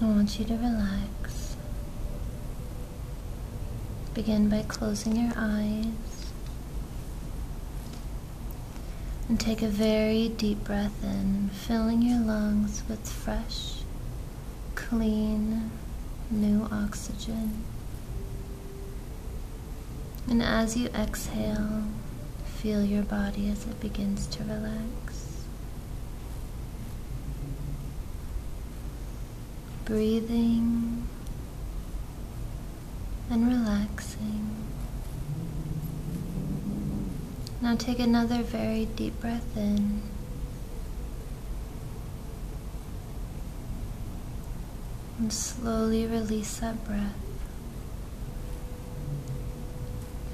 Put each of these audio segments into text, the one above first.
I want you to relax. Begin by closing your eyes and take a very deep breath in, filling your lungs with fresh, clean, new oxygen. And as you exhale, feel your body as it begins to relax. Breathing and relaxing. Now take another very deep breath in. And slowly release that breath.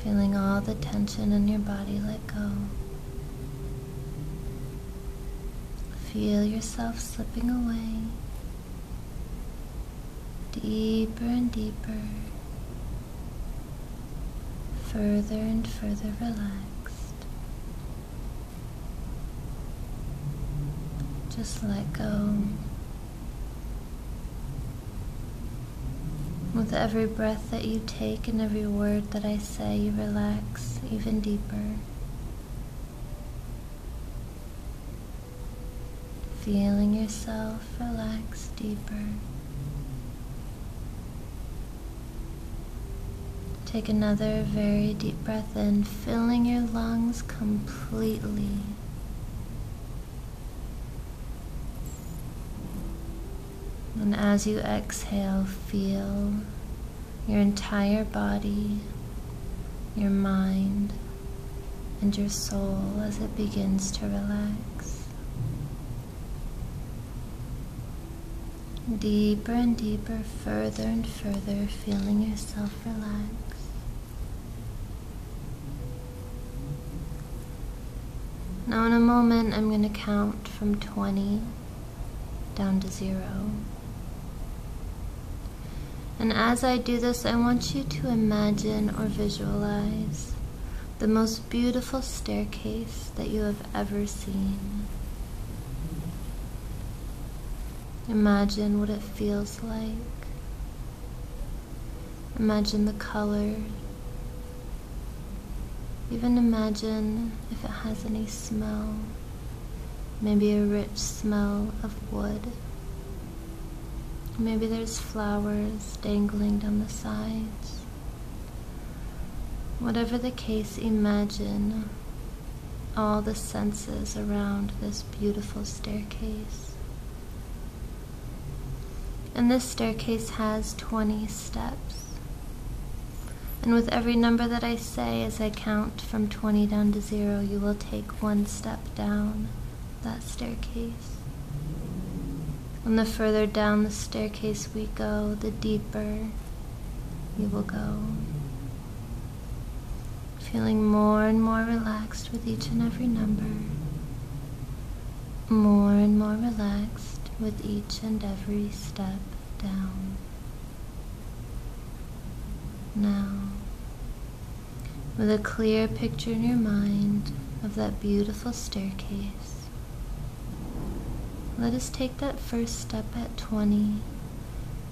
Feeling all the tension in your body let go. Feel yourself slipping away deeper and deeper, further and further relaxed. Just let go with every breath that you take and every word that I say, you relax even deeper. Feeling yourself relax deeper. Take another very deep breath in, filling your lungs completely. And as you exhale, feel your entire body, your mind, and your soul as it begins to relax. Deeper and deeper, further and further, feeling yourself relax. Now in a moment I'm going to count from 20 down to 0. And as I do this, I want you to imagine or visualize the most beautiful staircase that you have ever seen. Imagine what it feels like. Imagine the color. Even imagine if it has any smell. Maybe a rich smell of wood. Maybe there's flowers dangling down the sides. Whatever the case, imagine all the senses around this beautiful staircase. And this staircase has 20 steps. And with every number that I say as I count from 20 down to 0, you will take one step down that staircase. And the further down the staircase we go, the deeper you will go. Feeling more and more relaxed with each and every number more and more relaxed with each and every step down. Now, with a clear picture in your mind of that beautiful staircase, let us take that first step at 20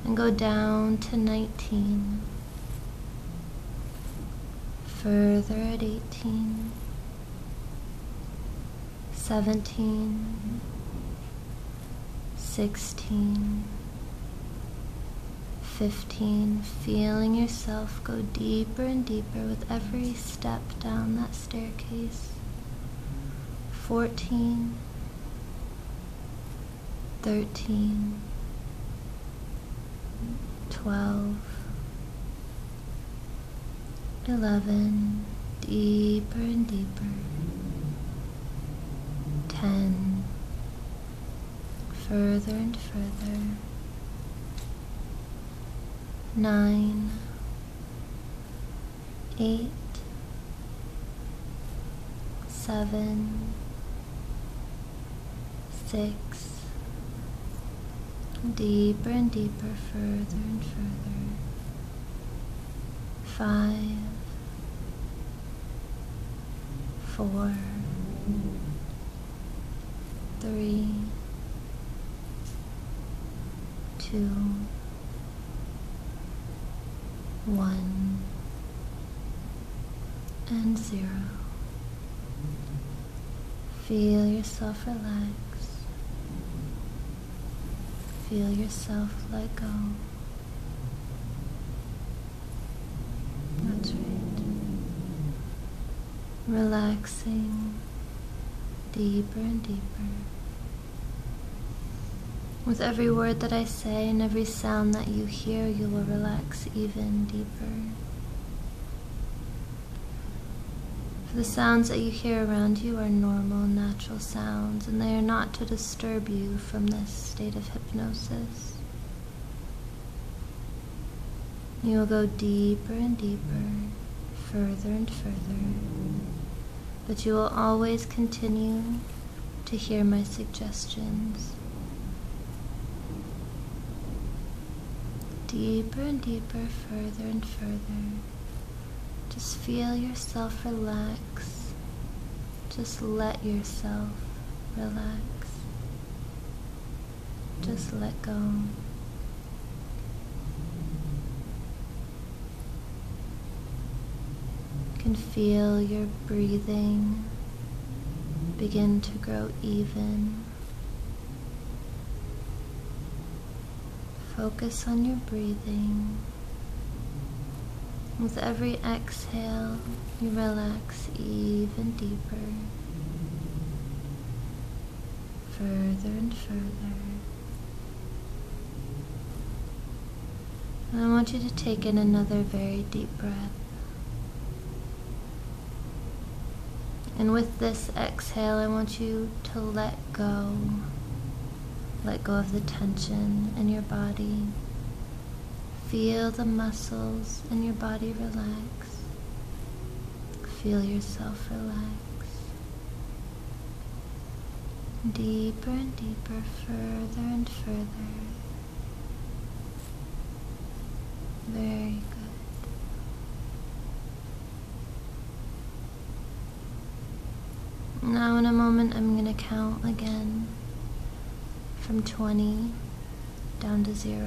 and go down to 19. Further at 18, 17, 16, 15, feeling yourself go deeper and deeper with every step down that staircase. 14, 13, 12, 11, deeper and deeper, 10, further and further, 9, 8, 7, six, deeper and deeper, further and further, Five. Four. Three. Two. One. and zero. Feel yourself relax. Feel yourself let go. That's right. Relaxing deeper and deeper. With every word that I say and every sound that you hear, you will relax even deeper for the sounds that you hear around you are normal, natural sounds, and they are not to disturb you from this state of hypnosis. You will go deeper and deeper, further and further, but you will always continue to hear my suggestions. Deeper and deeper, further and further. Just feel yourself relax. Just let yourself relax. Just let go. can feel your breathing begin to grow even. Focus on your breathing. With every exhale, you relax even deeper, further and further. I want you to take in another very deep breath. And with this exhale, I want you to let go. Let go of the tension in your body. Feel the muscles in your body relax. Feel yourself relax. Deeper and deeper, further and further very good. Now in a moment I'm going to count again from 20 down to 0.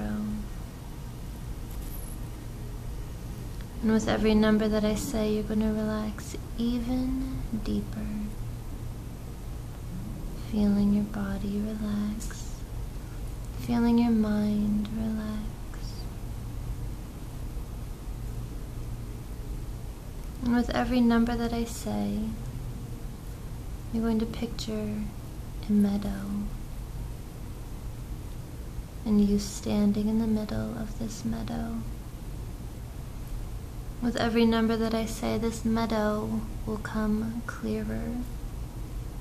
And with every number that I say, you're going to relax even deeper. Feeling your body relax feeling your mind relax. And with every number that I say, you're going to picture a meadow and you standing in the middle of this meadow. With every number that I say, this meadow will come clearer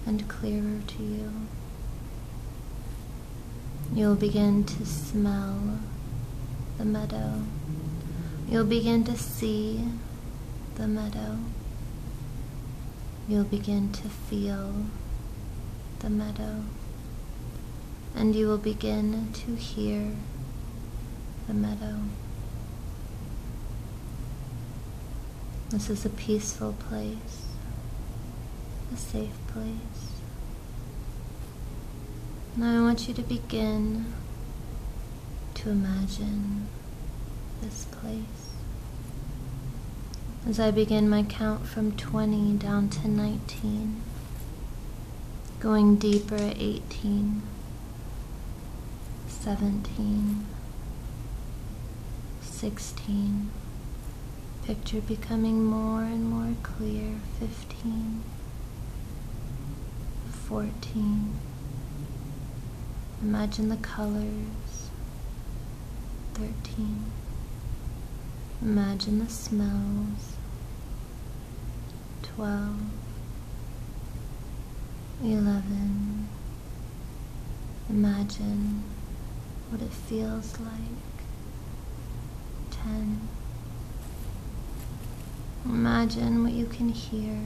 and clearer to you. You'll begin to smell the meadow. You'll begin to see the meadow. You'll begin to feel the meadow. And you will begin to hear the meadow. This is a peaceful place, a safe place. Now I want you to begin to imagine this place. As I begin my count from 20 down to 19, going deeper at 18, 17, 16, picture becoming more and more clear, 15, 14, imagine the colors, 13, imagine the smells, 12, 11. Imagine what it feels like. 10. Imagine what you can hear.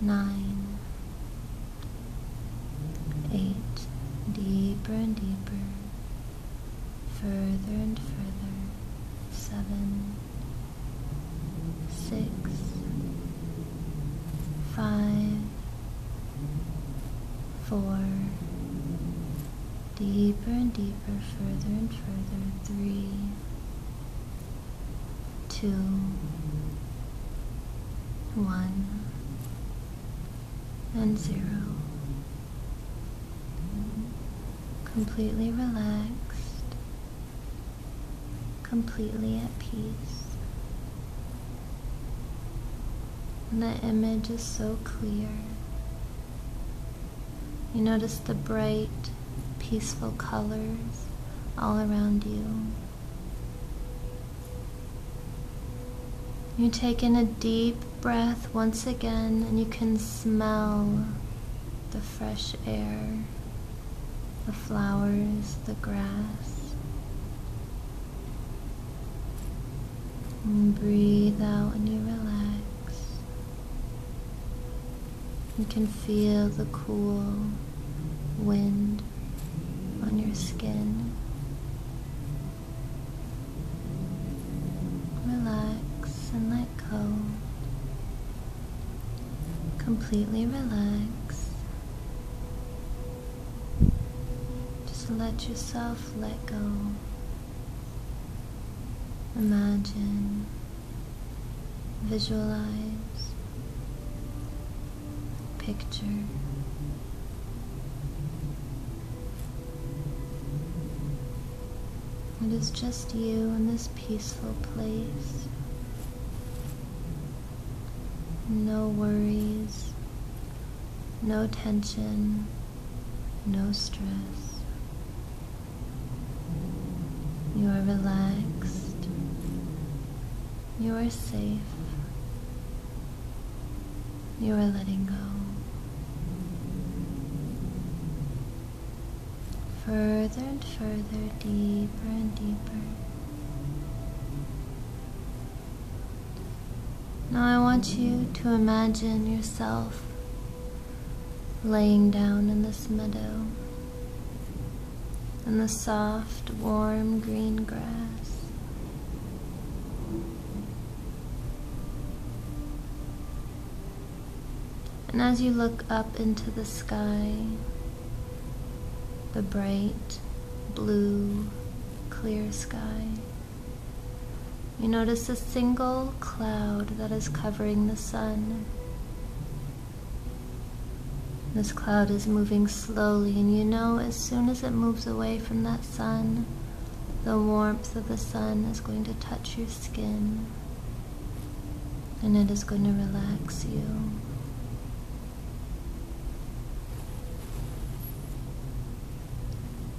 9. 8. Deeper and deeper. Further and further. 7 six, five, four, deeper and deeper, further and further, three, two, one, and zero. Completely relaxed completely at peace. And that image is so clear. You notice the bright, peaceful colors all around you. You take in a deep breath once again, and you can smell the fresh air the flowers, the grass. breathe out and you relax. You can feel the cool wind on your skin. Relax and let go completely relax. Just let yourself let go. Imagine, visualize, picture. It is just you in this peaceful place. No worries, no tension, no stress. You are relaxed. You are safe. You are letting go further and further, deeper and deeper. Now I want you to imagine yourself laying down in this meadow, in the soft, warm green grass. And as you look up into the sky, the bright blue, clear sky, you notice a single cloud that is covering the sun. This cloud is moving slowly, and you know as soon as it moves away from that sun, the warmth of the sun is going to touch your skin and it is going to relax you.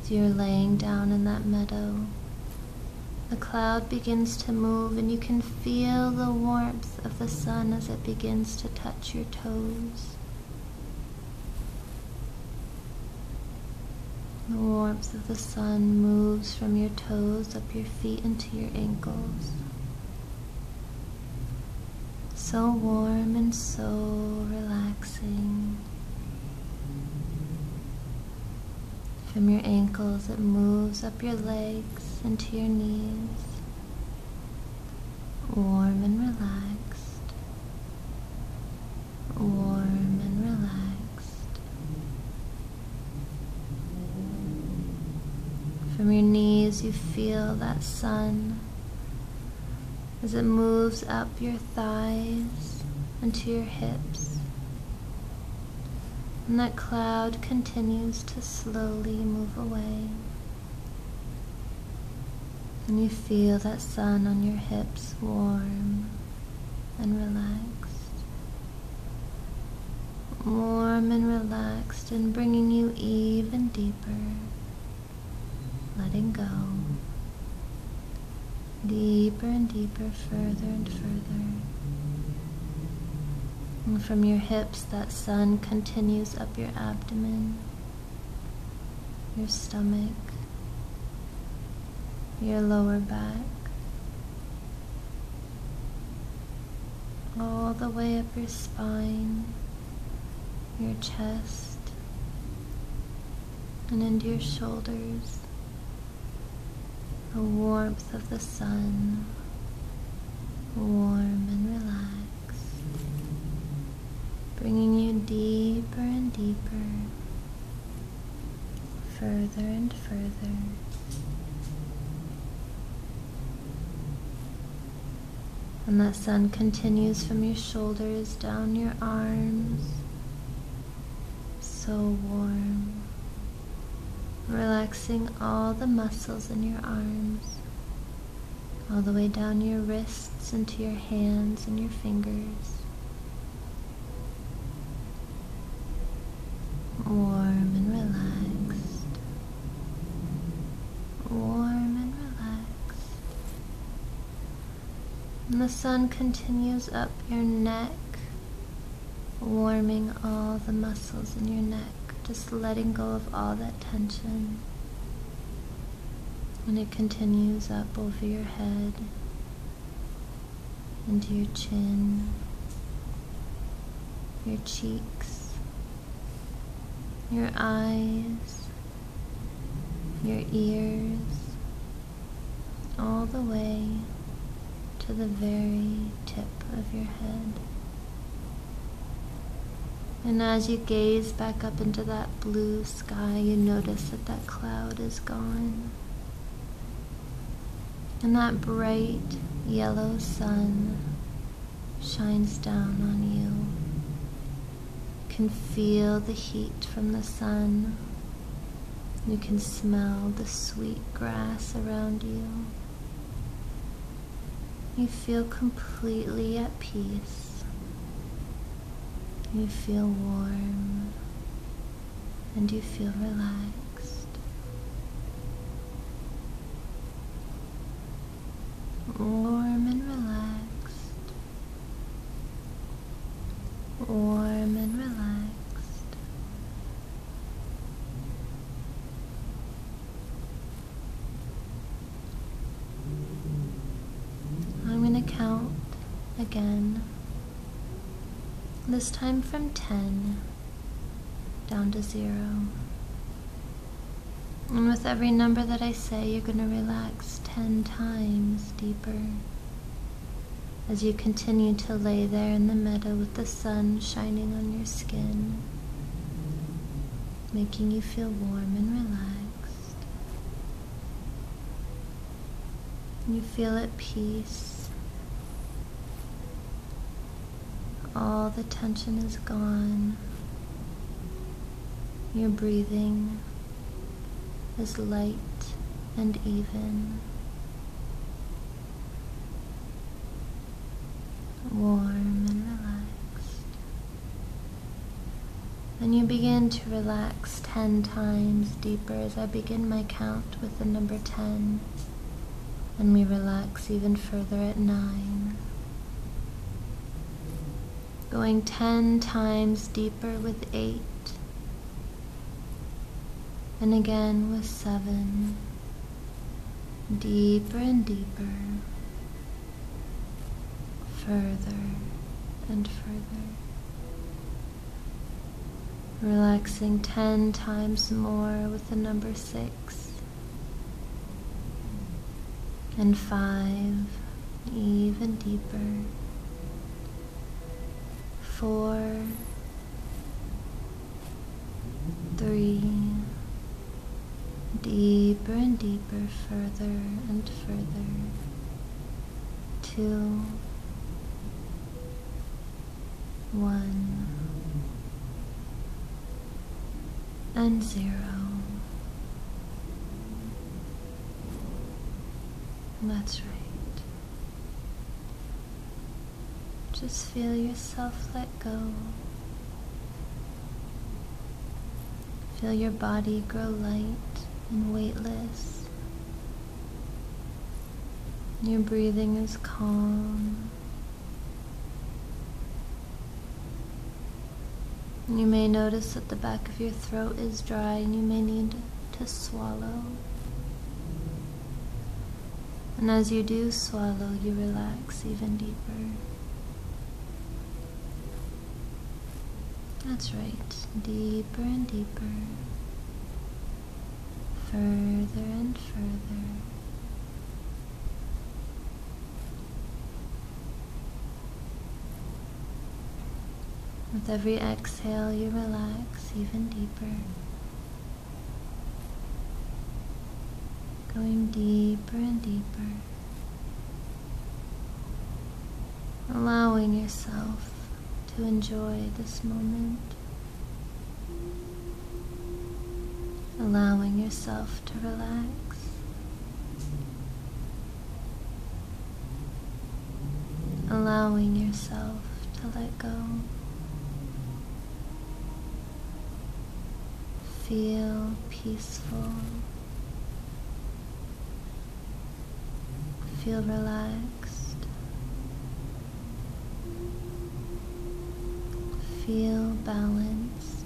As you're laying down in that meadow, the cloud begins to move, and you can feel the warmth of the sun as it begins to touch your toes. The warmth of the sun moves from your toes up your feet and to your ankles. So warm and so relaxing. From your ankles, it moves up your legs into your knees. Warm and relaxed. Warm and relaxed. From your knees, you feel that sun as it moves up your thighs into your hips. And that cloud continues to slowly move away. And you feel that sun on your hips warm and relaxed warm and relaxed and bringing you even deeper, letting go deeper and deeper, further and further. from your hips, that sun continues up your abdomen, your stomach, your lower back, all the way up your spine, your chest, and into your shoulders. The warmth of the sun, warm and relaxed, bringing you deeper and deeper, further and further and that sun continues from your shoulders down your arms. So warm. Relaxing all the muscles in your arms, all the way down your wrists into your hands and your fingers warm and relaxed, warm and relaxed. And the sun continues up your neck, warming all the muscles in your neck, just letting go of all that tension. And it continues up over your head, into your chin, your cheeks, your eyes, your ears, all the way to the very tip of your head. And as you gaze back up into that blue sky, you notice that that cloud is gone. And that bright yellow sun shines down on you. You can feel the heat from the sun. You can smell the sweet grass around you. You feel completely at peace. You feel warm and you feel relaxed. Warm and relaxed. Warm and relaxed. I'm going to count again. This time from 10 down to zero. And with every number that I say, you're going to relax 10 times deeper as you continue to lay there in the meadow with the sun shining on your skin, making you feel warm and relaxed. You feel at peace all the tension is gone. Your breathing is light and even, warm and relaxed. And you begin to relax 10 times deeper as I begin my count with the number 10 and we relax even further at 9. Going 10 times deeper with 8, and again with 7. Deeper and deeper, further and further. Relaxing 10 times more with the number 6 and 5, even deeper. 4, 3, deeper and deeper, further and further. 2, one, and zero. That's right. Just feel yourself let go. Feel your body grow light and weightless your breathing is calm. You may notice that the back of your throat is dry and you may need to swallow. And as you do swallow, you relax even deeper. That's right, deeper and deeper further and further. With every exhale, you relax even deeper. Going deeper and deeper. Allowing yourself to enjoy this moment allowing yourself to relax. Allowing yourself to let go. Feel peaceful. Feel relaxed. Feel balanced.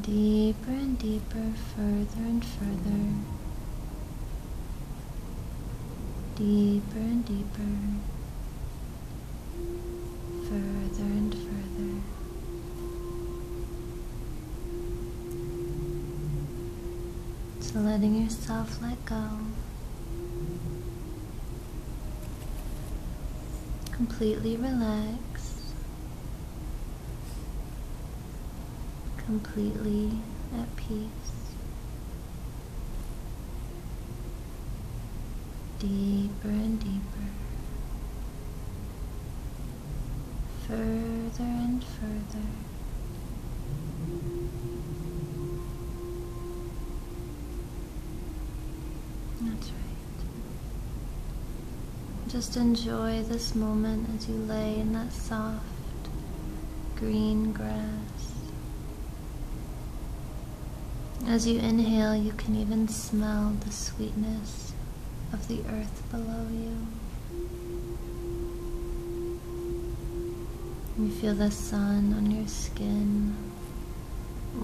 Deeper and deeper, further and further. Deeper and deeper. Further and further. So letting yourself let go. Completely relaxed. Completely at peace. Deeper and deeper further and further. That's right. Just enjoy this moment as you lay in that soft green grass. As you inhale, you can even smell the sweetness of the earth below you. You feel the sun on your skin,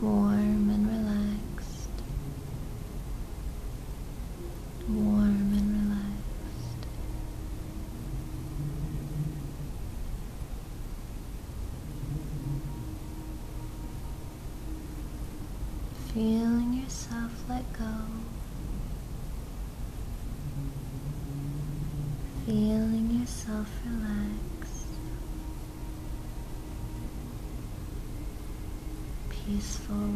warm and relaxed. Warm and relaxed. Feeling yourself let go. Feeling yourself relaxed, Peaceful.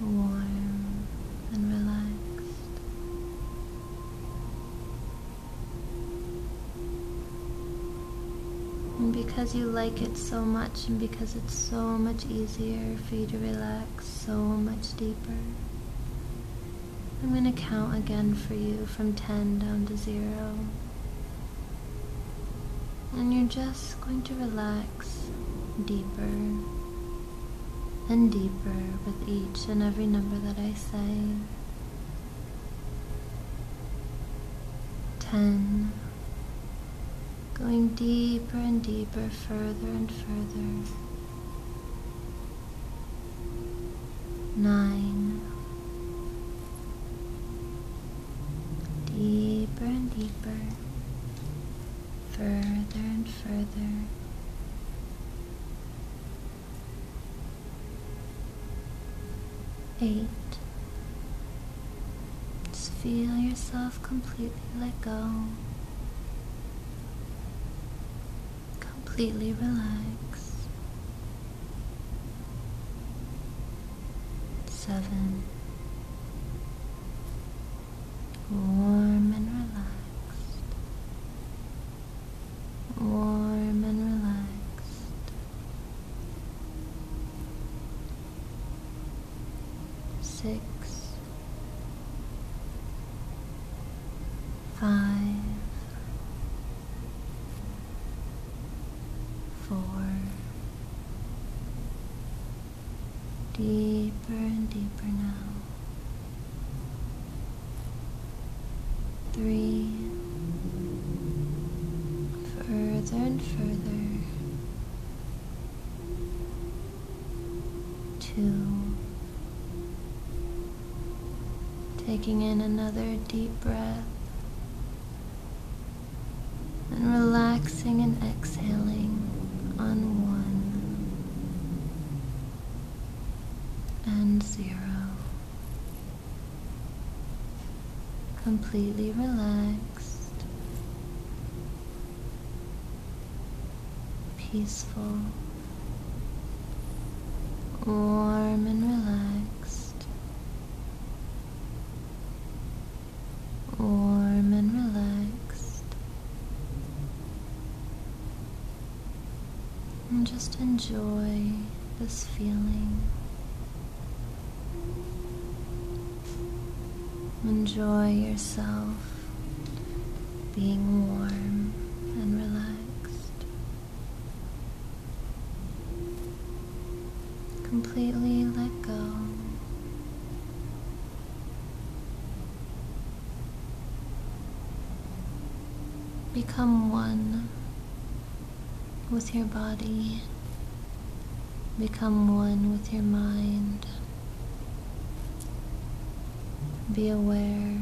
Warm and relaxed. And because you like it so much, and because it's so much easier for you to relax so much deeper, I'm going to count again for you from 10 down to 0. And you're just going to relax deeper and deeper with each and every number that I say. 10 Going deeper and deeper, further and further. Nine. Deeper and deeper, further and further. Eight. Just feel yourself completely let go. Completely relax. Seven. Warm and relaxed. Warm and relaxed six, five, four, deeper and deeper now, three, further and further to taking in another deep breath and relaxing and exhaling on one and zero completely relaxed, peaceful, warm and relaxed, warm and relaxed, and just enjoy this feeling. Enjoy yourself being warm and relaxed, completely let go. Become one with your body, become one with your mind. Be aware.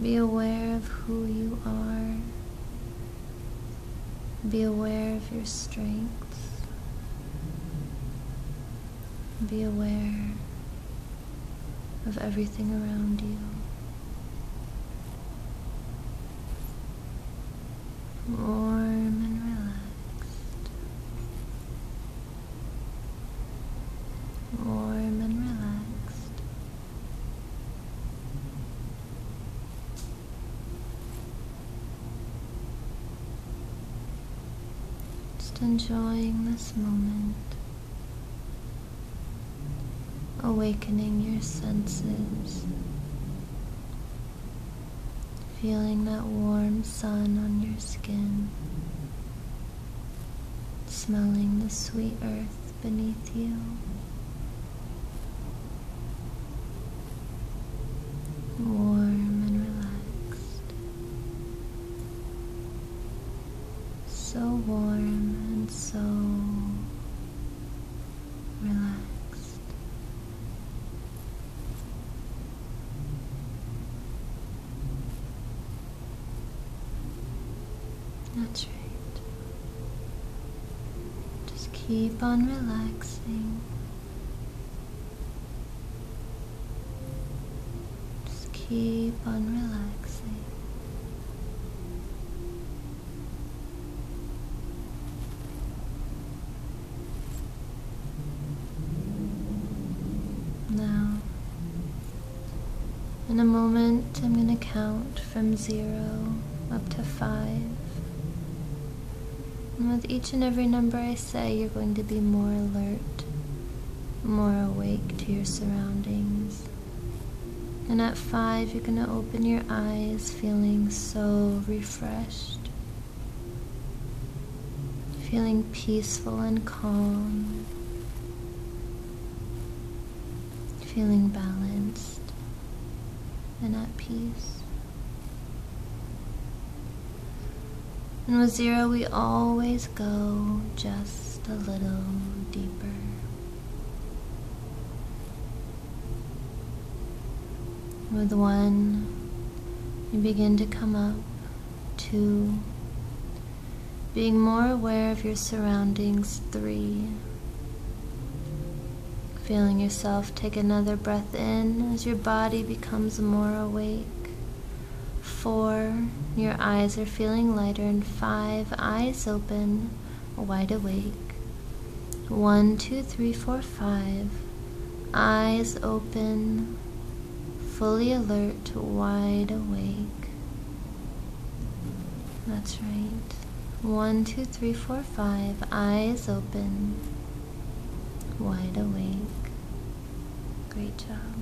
Be aware of who you are. Be aware of your strengths. Be aware of everything around you warm and relaxed, warm and relaxed. Just enjoying this moment awakening your senses, feeling that warm sun on your skin, smelling the sweet earth beneath you. Warm and relaxed. So warm and so relaxed. That's right. Just keep on relaxing. Just keep on relaxing. Now, in a moment, I'm going to count from zero up to five. And with each and every number I say, you're going to be more alert, more awake to your surroundings. And at five, you're going to open your eyes feeling so refreshed, feeling peaceful and calm, feeling balanced and at peace. And with zero, we always go just a little deeper. With one, you begin to come up two, being more aware of your surroundings three, feeling yourself take another breath in as your body becomes more awake. Four, your eyes are feeling lighter, and five, eyes open wide awake. One, two, three, four, five. Eyes open, fully alert, wide awake. That's right. One, two, three, four, five. Eyes open, wide awake. Great job.